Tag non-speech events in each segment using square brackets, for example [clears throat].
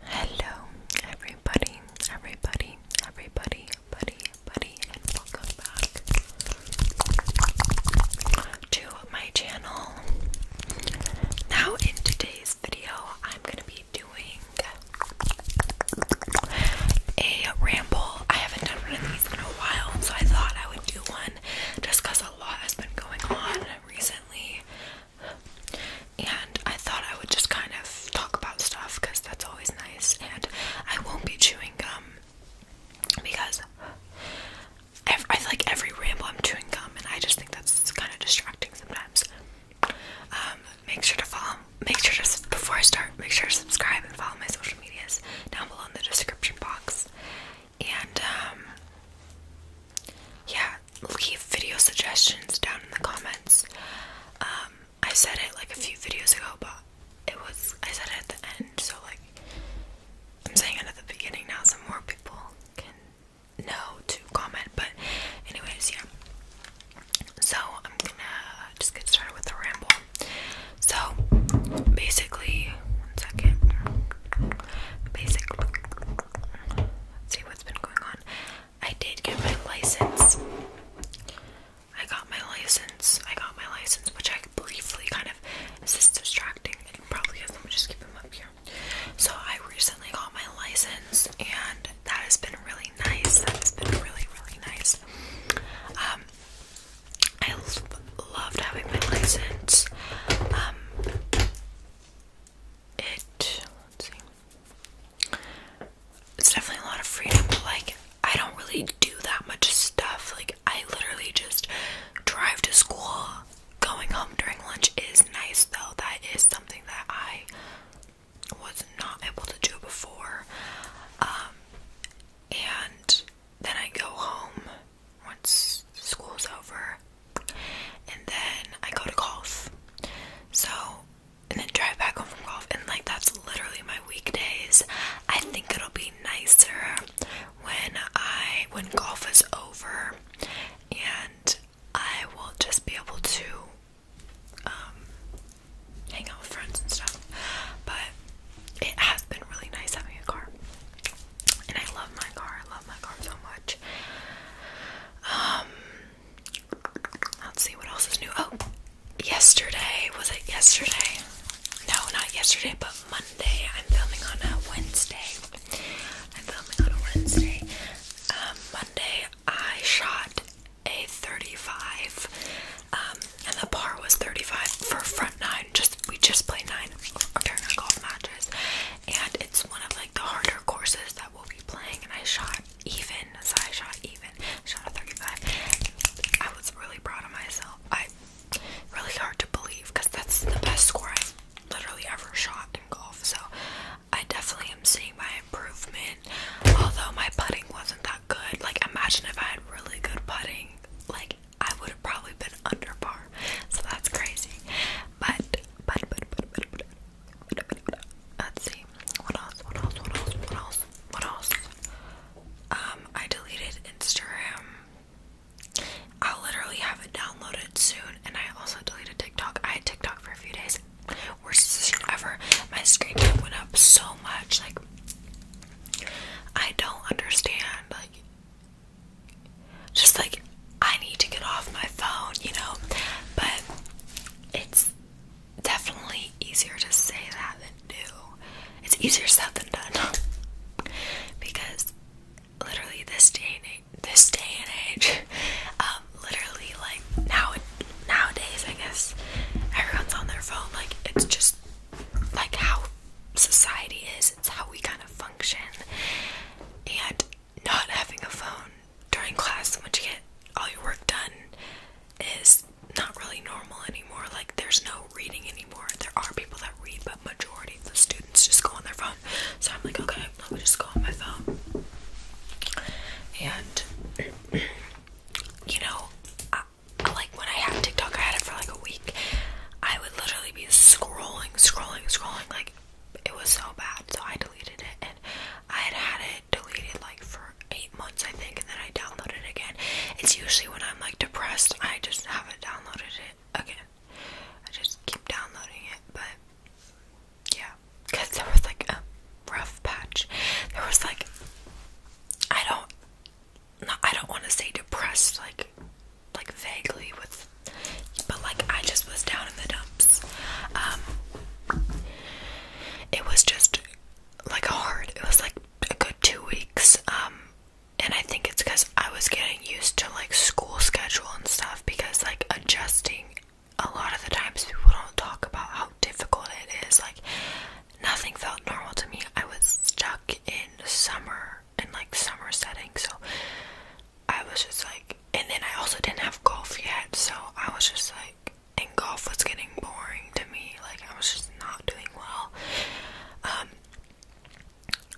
Hello, everybody, everybody, everybody, buddy, buddy, and welcome back to my channel. Now, in today's video, I'm gonna be doing a ramble. I haven't done one of these in a while, so I thought I would do one just a lot has been going on recently and I thought I would just kind of talk about stuff because that's always nice. And I won't be chewing gum because every, I feel like every ramble I'm chewing gum, and I just think that's kind of distracting sometimes. Um, make sure to follow. Make sure to before I start, make sure to subscribe and follow my social medias down below in the description box. And um, yeah, leave video suggestions down in the comments. Um, I said it like a few videos ago, but it was I said it at the end, so like I'm saying it at the beginning now, so more people can know to comment. But anyways, yeah. So I'm gonna just get started with the ramble. So basically, one second. Basically, see what's been going on. I did get my license. I got my license. I got my license, which I briefly kind of this distracting. It probably is. Let me just keep them up here. So I recently got my license, and that has been really nice. That has been really, really nice. Um, I lo loved having my license. Um, it it's definitely a lot of freedom, but like I don't really do that much stuff. Like I literally just drive to school. Going home during lunch is nice though. That is something that I was not able to do before. Um, and then I go home once school's over and then I go to golf. So, and then drive back home from golf, and like that's literally my weekdays. I think it'll be nicer when I when golf is over, and I will just be able to um, hang out with friends and stuff. But it has been really nice having a car, and I love my car. I love my car so much. Um, let's see what else is new. Oh, yesterday was it yesterday? No, not yesterday, but Monday. I'm filming on a Wednesday. I'm filming on a Wednesday. Um, Monday I shot a 35. Um, and the par was 35 for front nine. Just we just played nine online a golf matches, and it's one of like the harder courses that we'll be playing. And I shot even, so I shot even, shot a 35. I was really proud of myself. I really hard to believe because that's the best score I've literally ever shot in golf. So I definitely am seeing my improvement. Although my putting wasn't that good. Like imagine if I had really good putting, like I would have probably been under par. [laughs] So that's crazy. But but but but but let's see. What else? What else? What else? What else? Um, I deleted Instagram. I'll literally have it downloaded soon, and I also deleted TikTok. I had TikTok for a few days. Worst decision ever. My screen time went up so much. Like, I don't understand. Like, just like I need to get off my phone, you know. But it's definitely easier to say that than do. It's easier said than done [laughs] because literally this day and age, this day and age, [laughs] um, literally like now nowadays, I guess everyone's on their phone. Like it's just like how society is. It's how we kind of function, and not having a phone during class once you get all your work done is not really normal anymore. Like there's no reading anymore. There are people that read, but majority of the students just go on their phone. So I'm like, okay, let me just go on my phone. And [clears throat] you know, I, like when I had TikTok, I had it for like a week. I would literally be scrolling, scrolling, scrolling, like it was so bad, so I deleted it. And I had had it deleted like for eight months, I think, and then I downloaded it again. It's usually when I'm like depressed, I just haven't downloaded it again. I just keep downloading it, but yeah, because there was like a rough patch. There was like, I don't, I don't want to say depressed, like like vaguely with but like I just was down in the dumps. Um, it was just like hard. It was like a good two weeks. Um and I think it's because I was getting used to like school schedule and stuff because like adjusting a lot of the times people don't talk about how difficult it is. Like nothing felt normal to me. I was stuck in summer and like summer setting so I was just like and then I also didn't have golf yet so I was just like and golf was getting boring to me like I was just not doing well um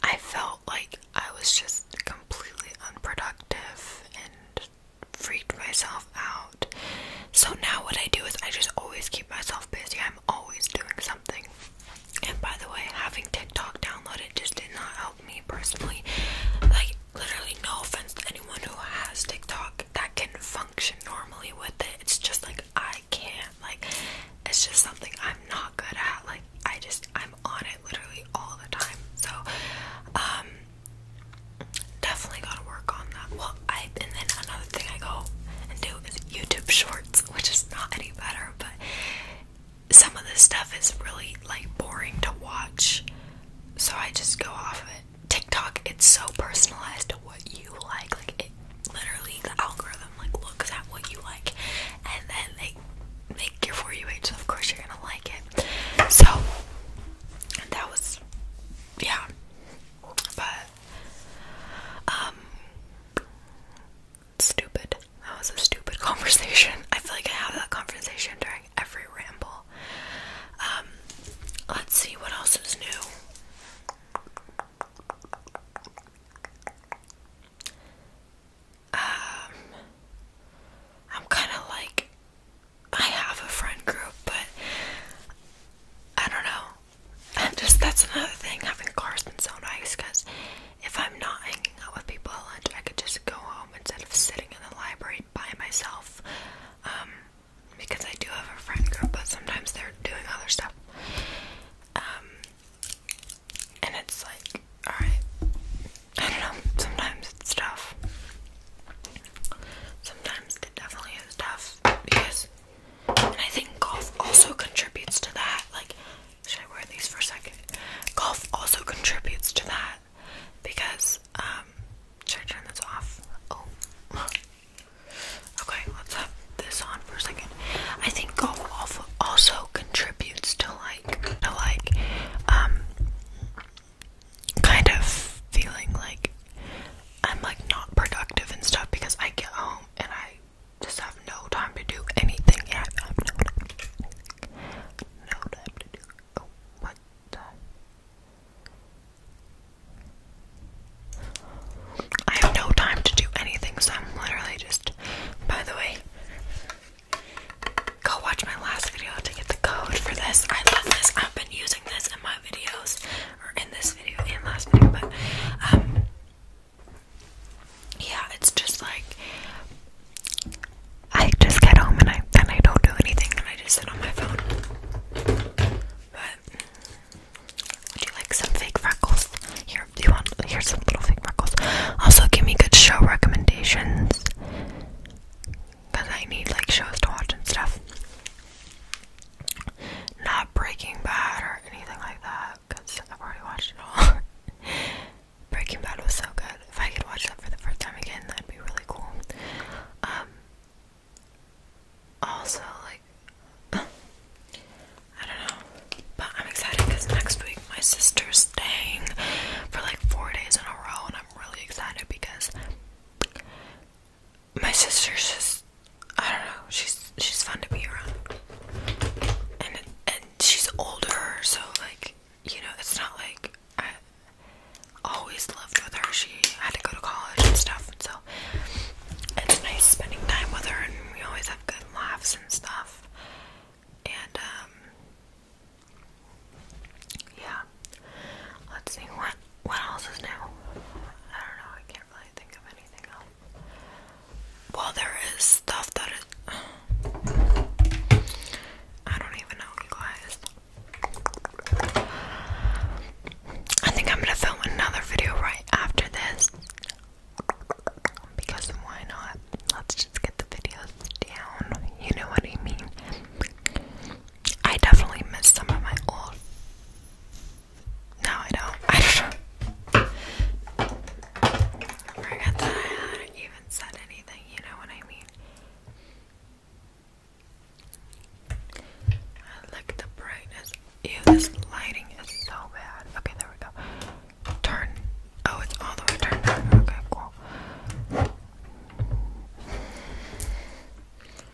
I felt like I was just completely unproductive and freaked myself out. So now what I do is I just always keep myself busy. I'm always doing something. And by the way, having TikTok downloaded just did not help me personally. Like, literally, no offense to anyone who has TikTok that can function normally with it. It's just like I can't. Like, it's just something I'm not good at. Like, I just, I'm on it literally all the time. So, um, definitely gotta work on that. Well, I, and then another thing I go and do is YouTube Shorts, which is not any better, but some of this stuff is really like boring to watch, so I just go off of it. TikTok, it's so personalized to what you like. Like it literally the algorithm like looks at what you like and then they make your for you page, so of course you're gonna like it. So that was yeah. But um stupid. That was a stupid [laughs] conversation. I feel like I have that conversation during every ramble. Um, let's see what else is new. Um, I'm kind of like I have a friend group, but I don't know. And [laughs] just that's another thing having Carson so nice because if I'm not hanging out with people at lunch, I could just go home instead of sitting in the library by myself. Um, because I do have a friend group, but sometimes they're doing other stuff. Um, and it's like, alright. I don't know, sometimes it's tough. Sometimes it definitely is tough because and I think golf also contributes to that. Like, should I wear these for a second? Golf also contributes to that because, um, should I this off? Oh. [laughs] okay, let's have this on for a second. I think golf also contributes to like, to like, um, kind of feeling like I'm like not productive and stuff because I get home and I just have no time to do anything yet. I no time. to do. Oh, what I have no time to do anything, so I'm literally just. By the way, go watch my last video to get the code for this. I love this. I've been using this in my videos, or in this video and last video, but um, yeah, it's just like I just get home and I then I don't do anything and I just sit on my phone. But would you like some fake freckles? Here, do you want? Here's some little fake freckles. Also, give me good show recommendations because I need like shows to watch and stuff. Not Breaking Bad or anything like that I've already watched it all. [laughs] Breaking Bad was so good. If I could watch that for the first time again, that'd be really cool. Um, also, like, [laughs] I don't know, but I'm excited because next week my sister's staying for like four days in a row, and I'm really excited because my sister's just I don't know. She's she's fun to be around, and and she's older, so like you know, it's not like I always loved with her. She had to go to college and stuff, so it's nice spending time with her, and we always have good laughs and stuff. And um, yeah. Let's see what what else is new. I don't know. I can't really think of anything else. Well, there is stuff that is. I don't even know, guys. I think I'm gonna film another video right after this. Because why not? Let's just get the videos down. You know what I mean? I definitely miss some of my old no, I don't. [laughs] I know. forgot that I hadn't even said anything, you know what I mean? I like the brightness. Ew, this lighting is so bad. Okay, there we go. Turn. Oh, it's all the way turned Okay, cool. Why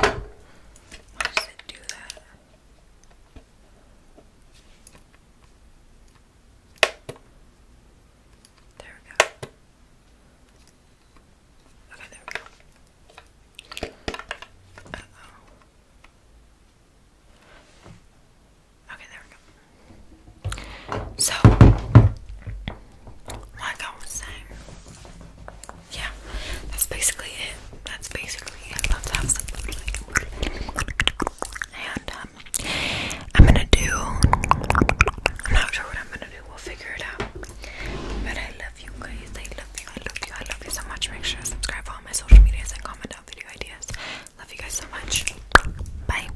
does it do that? There we go. Okay, there we go. Uh oh. Okay, there we go. So, like I was saying, yeah, that's basically it. That's basically it. I love to have something like And um, I'm gonna do, I'm not sure what I'm gonna do. We'll figure it out. But I love you guys. I love you. I love you. I love you so much. Make sure to subscribe to all my social medias and comment out video ideas. Love you guys so much. Bye.